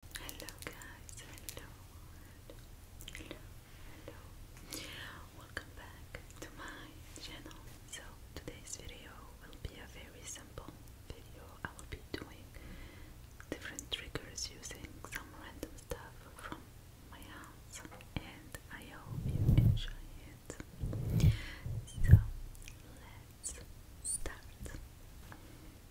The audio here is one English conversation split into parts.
Hello guys, hello, hello, hello, welcome back to my channel. So today's video will be a very simple video. I will be doing different triggers using some random stuff from my house and I hope you enjoy it. So let's start. Do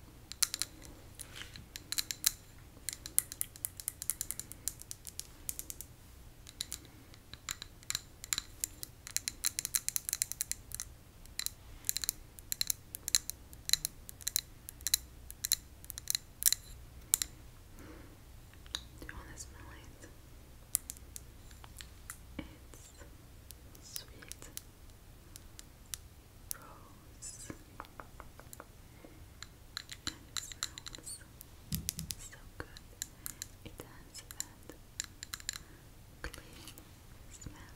you want to smell it? It's sweet rose. And smells so good. It has that clean smell.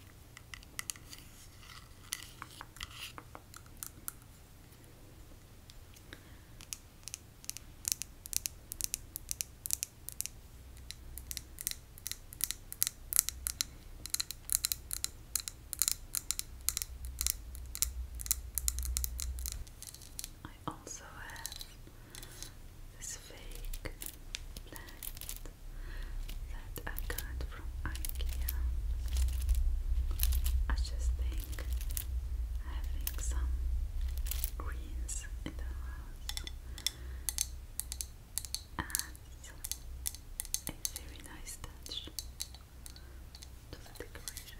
I also have this fake plant that I got from IKEA. I just think having some greens in the house adds a very nice touch the decoration.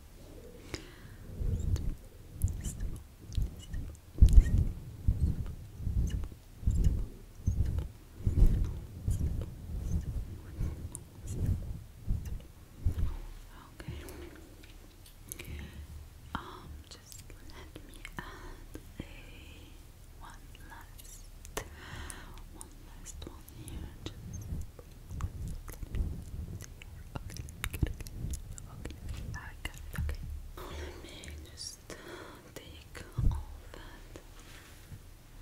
Okay. Um, just let me add a one last, one last one here. Okay, okay. Let me just take all that,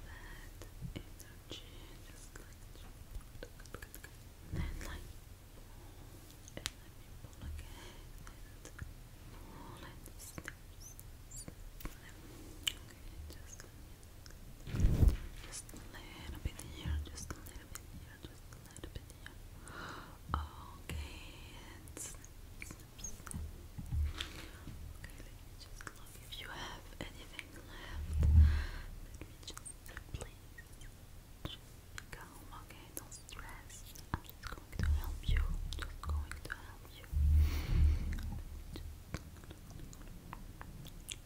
that energy, just like and like just a little bit here, just a little up Okay, and Okay, just look if you have anything left. Let me just, please, just calm, okay? Don't stress. I'm just going to help you. Just going to help you.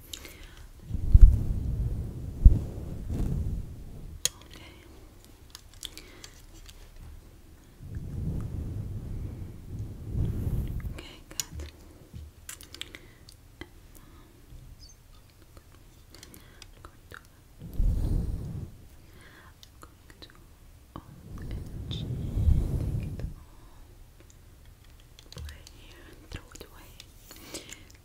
Okay. Okay, good. I'm going to own energy, take it all, put it and throw it away.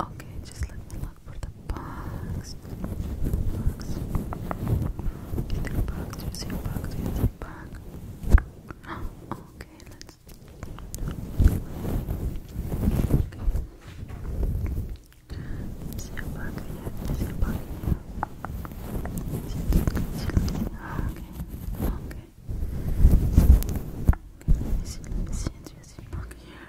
Okay, just let me look for the box. Box. Is there box? Do you box? Okay, let's. Okay. Is box here? Is there box Okay. Okay. Okay, let me see, let box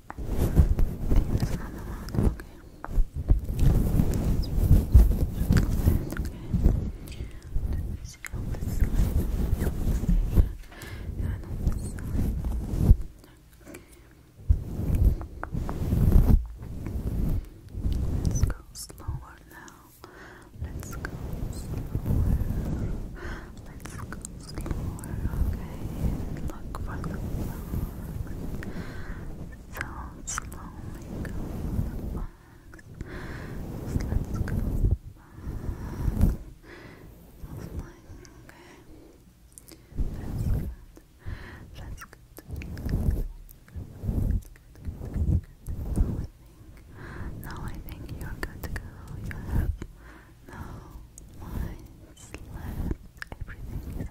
This is not the one, okay. It's okay. Let see on this side. And on this side. And on this side. Okay. Let's go slower now. Let's go slower. Let's go slower, okay? Look for the box. So slowly go to the box. let's go okay? That's good. That's good. Good, good, good, good. Now I think, now I think you're good to You have no lines left. Everything is okay.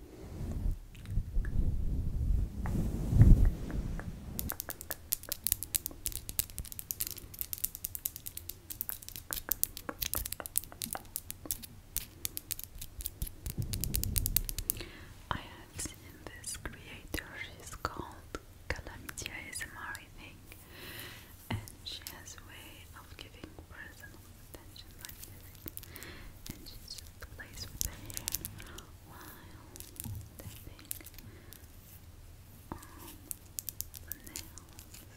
I have seen this creator, she's called Calamity ASMR and she has a way of giving personal extension like this, and just with the while tapping on the nails, just like that. And I very, very relaxing.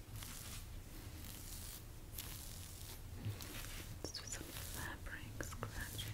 Let's some fabric scratching.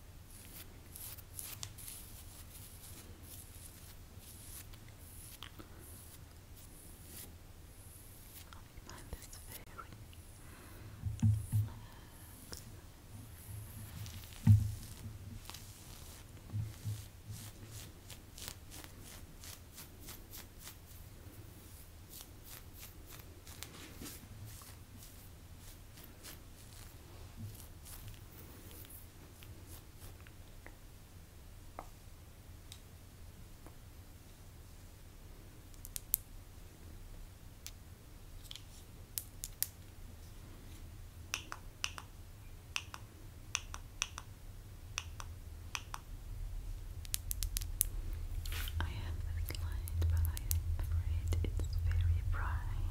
find this very Relax. I have this light, but I'm afraid it's very bright.